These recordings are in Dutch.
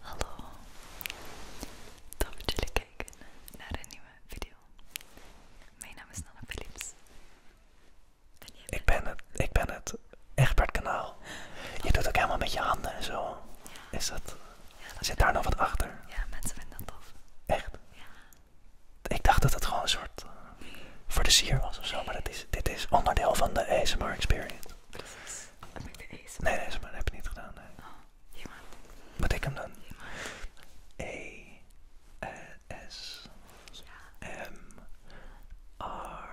Hallo, tof dat jullie kijken naar een nieuwe video. Mijn naam is Nana Philips. Ik ben het, ik ben het. Egbert Kanaal. Je doet ook helemaal met je handen en zo. Is dat, zit daar nog wat achter? Ja, mensen vinden dat tof. Echt? Ja. Ik dacht dat het gewoon een soort eh, voor de sier was of zo, maar dit is onderdeel van de ASMR experience. Precies. Heb ik de ASMR? Nee, nee, dat heb ik niet gedaan. Nee. Oh, Wat ik hem dan? E, S, M, R.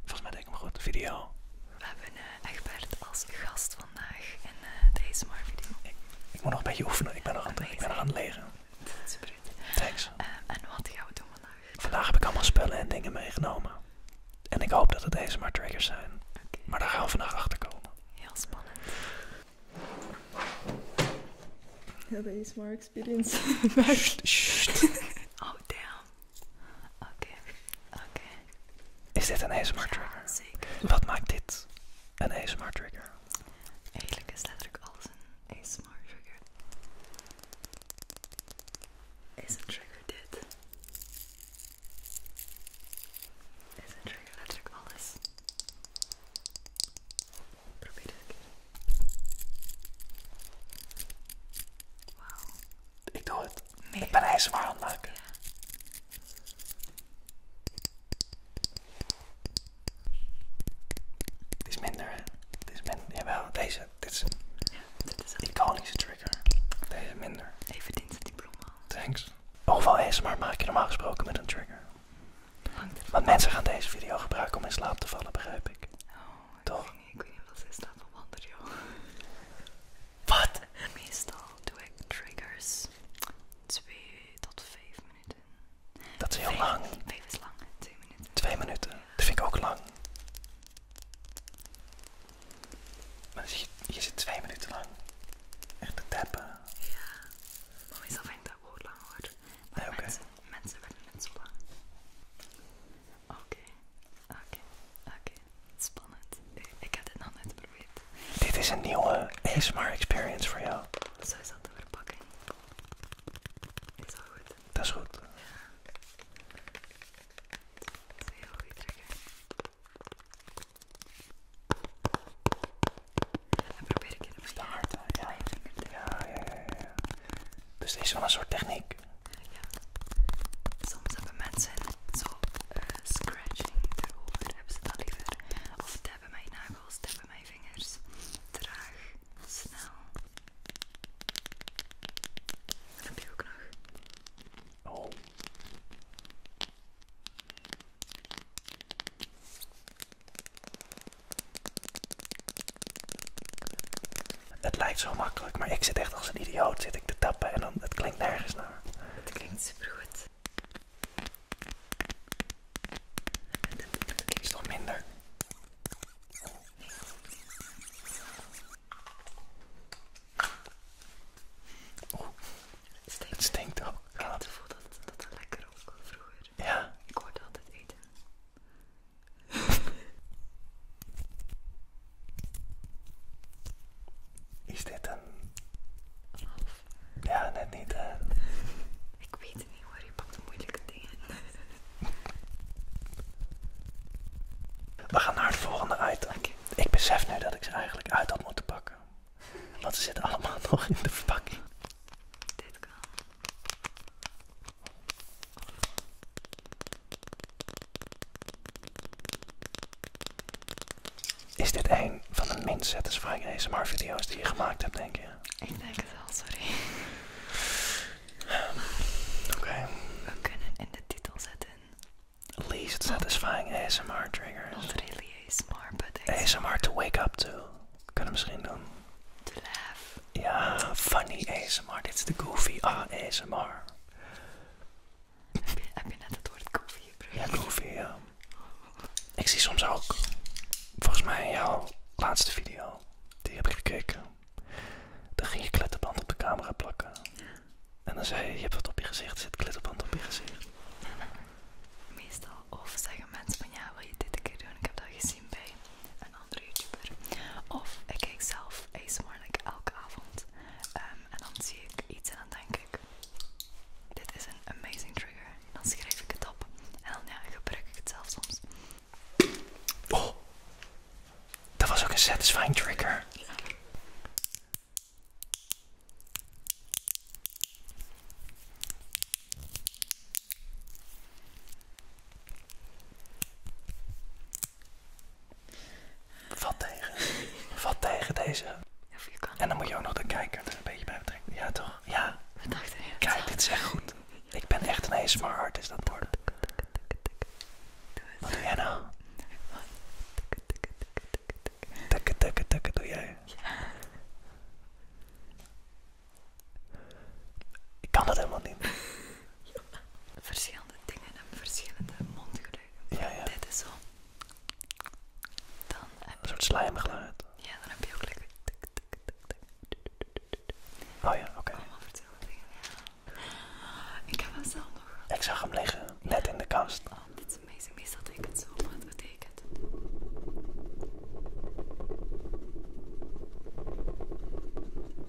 Volgens mij deed ik hem goed. Video. We hebben een eh, Egbert als gast vandaag in eh, de deze ASMR video. Ik, moet nog een beetje oefenen. Ik ben nog, aan, ik ben nog aan het leren. Super. Thanks. Eh, en wat gaan we doen vandaag? Vandaag heb ik allemaal spullen en dingen meegenomen. En ik hoop dat het deze maar triggers zijn. Maar daar gaan we vandaag achter komen. Heel spannend. De iets experience. oh damn. Oké, oké. Is dit een smart trigger? zeker. Wat maakt dit een smart trigger? Eerlijk is letterlijk alles een ASMR ASMR trigger. Isn't triggered dit? Isn't trigger alles? Probeer dit Ik doe het. Nee. Ik ben aan het maken. Het is minder, hè? Het is minder. Jawel, deze dit, is een ja, iconische trigger. Deze minder. Even dienst die diploma. Thanks. Hoeveel maar maak je normaal gesproken met een trigger? Want mensen gaan deze video gebruiken om in slaap te vallen, begrijp ik. Oh, Toch? Ik weet niet of ze staan op verwanderen, joh. Wat? Meestal doe ik triggers 2 tot 5 minuten. Dat is heel lang. Vijf is lang, twee minuten. Twee minuten, dat vind ik ook lang. Maar dus je, je zit twee minuten lang echt te tappen. Ja, maar meestal vind ik dat gewoon lang hoor. Maar mensen, vinden het zo lang. Oké, oké, oké. Spannend. Eh, ik heb dit nog niet geprobeerd. Dit is een nieuwe ASMR experience voor jou. Zo is dat de verpakking. Is dat goed? Dat is goed. Ja. Dat is heel goed, probeer ik het met hard, ja. Ja, ja, ja, ja. Dus dit is wel een soort techniek. Ja. Soms hebben mensen zo eh, scratching erover, hebben ze dat liever. Of tappen mijn nagels, tappen mijn vingers. Traag. Snel. heb je ook nog. Oh. Het lijkt zo makkelijk, maar ik zit echt als een idioot zit ik te tappen en dan, het klinkt nergens naar. Het klinkt supergoed. Is toch minder? Oeh, het stinkt, het stinkt ook. Ik had het gevoel dat dat, dat lekker ook vroeger. Ja. Ik hoorde altijd eten. Is dit een ja, net niet hè. Ik weet het niet hoor, je pakt de moeilijke dingen. We gaan naar het volgende item. Ik besef nu dat ik ze eigenlijk uit had moeten pakken. Want ze zitten allemaal nog in de pakking Dit kan. Is dit een van de minst satisfying ASMR video's die je gemaakt hebt, denk je? Ik denk het wel, sorry. Ehm, oké. We kunnen in de titel zetten. Least satisfying ASMR triggers. Not really ASMR, but ASMR. ASMR to wake up to. Kunnen we misschien doen. To laugh. Ja, funny ASMR. Dit is de goofy ASMR. Heb je, heb je net het woord goofy gebruikt? Ja, goofy, ja. Ik zie soms ook, volgens mij jouw laatste video, die heb ik gekeken. Dan ging je klettenband op de camera plakken. En dan zei je, je hebt wat op je gezicht, zit kletterband op je gezicht. Meestal of zeggen mensen van ja, wil je dit een keer doen? Ik heb dat gezien bij een andere YouTuber. Of ik kijk zelf ASMR like elke avond ehm, en dan zie ik iets en dan denk ik, dit is een amazing trigger. Dan schrijf ik het op en dan ja, gebruik ik het zelf soms. Oh, dat was ook een satisfying trigger. Wat tegen. Wat tegen deze. Ja, En dan moet je ook nog de kijker er een beetje bij betrekken. Ja, toch? Ja. Wat Kijk, dit is echt goed. Ik ben echt een ASMR artist aan het worden. Wat doe jij nou? Tukken, tukken, tukken doe jij. Ja. Ik kan dat helemaal niet. Verschillende dingen en verschillende mondgeluiden. Ja, ja. Dit is zo. Dan heb een soort slijmgeluid. Ja, dan heb je ook lekker. Oh ja, oké. Ik heb hem zelf nog. Ik zag hem liggen, net in de kast. Oh, dit is amazing. Meestal zo, maar het betekent.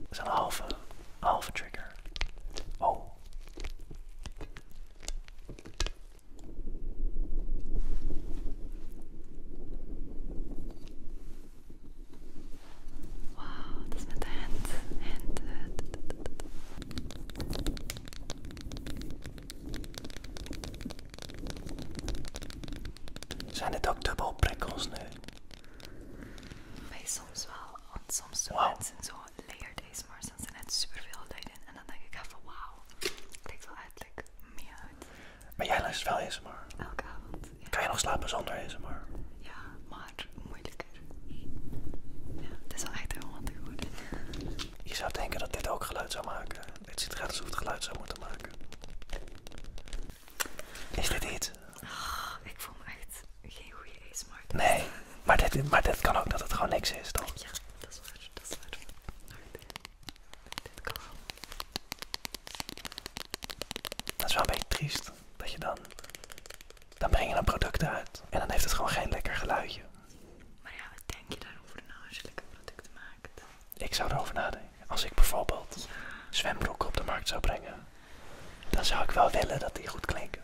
Het is een halve. Alpha oh, trigger. Oh. Wow, das mit der Hand. Hand. Uh, Zijn het ook dubbel prikkels nu? Bij soms wow. gewoon layer deze maar dan zijn net superveel luiden. En dan denk ik even, wauw, klinkt wel uiterlijk meer uit. Maar jij luistert wel maar? Elke avond, ja. Kan je nog slapen zonder deze maar? Ja, maar moeilijker. Ja, het is wel echt heel handig geworden. Je zou denken dat dit ook geluid zou maken. Het ziet eruit alsof het geluid zou moeten maken. Is dit iets? Oh, ik voel me echt geen goede smart. Nee, maar dit, maar dit kan ook dat het gewoon niks is, toch? Ja, dat is waar, dat is waar. dit, kan wel. Dat is wel een beetje triest, dat je dan... Dan breng je een product uit en dan heeft het gewoon geen lekker geluidje. Maar ja, wat denk je daarover na nou, als je lekker producten maakt? Ik zou erover nadenken. Als ik bijvoorbeeld zwembroek zwembroeken op de markt zou brengen dan zou ik wel willen dat die goed klinken.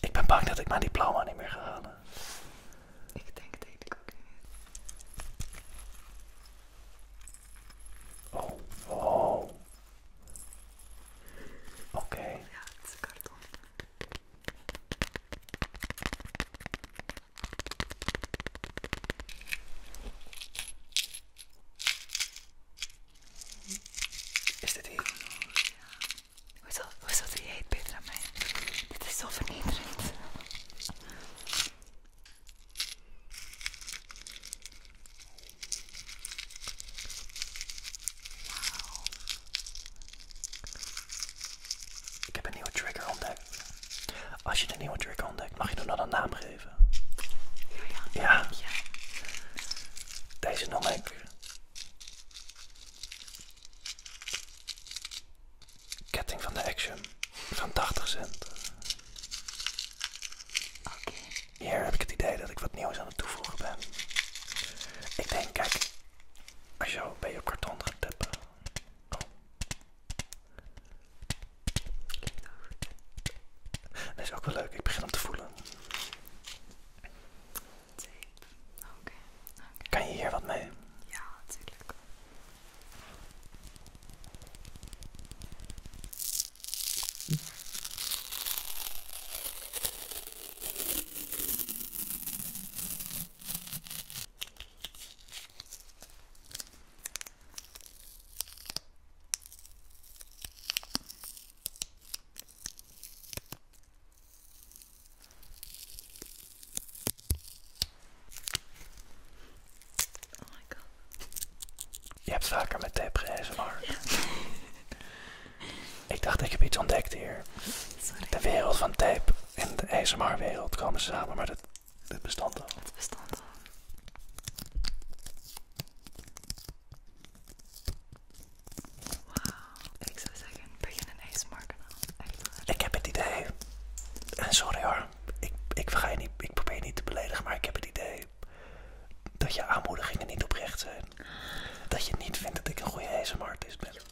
Ik ben bang dat ik mijn diploma niet meer ga halen. Ik denk dat ik ook niet. Oh, oh. Oké. Ja, is een karton. Is dit hier? Hoezo, hoezo doe jij het beter aan mij? Dit ik heb een nieuwe trigger ontdekt. Als je een nieuwe trigger ontdekt, mag je hem dan een naam geven. Ja. Deze noem ik. Ketting van de Action van 80 cent. Hier heb ik het idee dat ik wat nieuws aan het toevoegen ben. Ik denk, kijk, als je zo bij je karton gaat tippen. Oh, dat is ook wel leuk, ik begin om te voelen. Tape, oké. Okay. Kan je hier wat mee? Ja, natuurlijk. Je hebt vaker met tape maar. ik dacht ik heb iets ontdekt hier. De wereld van tape. In de ASMR-wereld komen samen, maar dat, bestanden. Wauw, ik zou zeggen, begin een ASMR-kanaal. Ik heb het idee, en eh, sorry hoor, ik, ik probeer je niet te beledigen, maar ik heb het idee dat je aanmoedigingen niet oprecht zijn. Dat je niet vindt dat ik een goede ASMR-artist ben.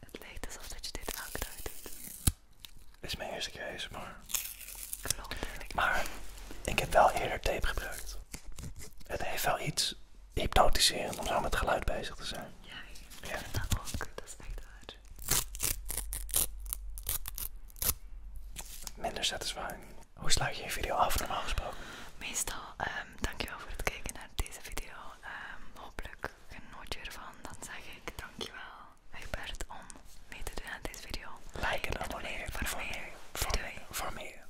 Het leek alsof dat je dit elke doet. Dit is mijn eerste keer maar. Klopt. Maar ik heb wel eerder tape gebruikt. Het heeft wel iets hypnotiseren om zo met geluid bezig te zijn. Ja, ik ja. dat ook. Dat is echt waar. Minder satisfying. Hoe sluit je je video af normaal gesproken? Meestal, ehm, dankjewel voor het kijken naar deze video. Ehm, hopelijk genoot je ervan. Dan zeg ik dankjewel, Egbert, om mee te doen aan deze video. Like en abonneer. Voor meer. Voor meer.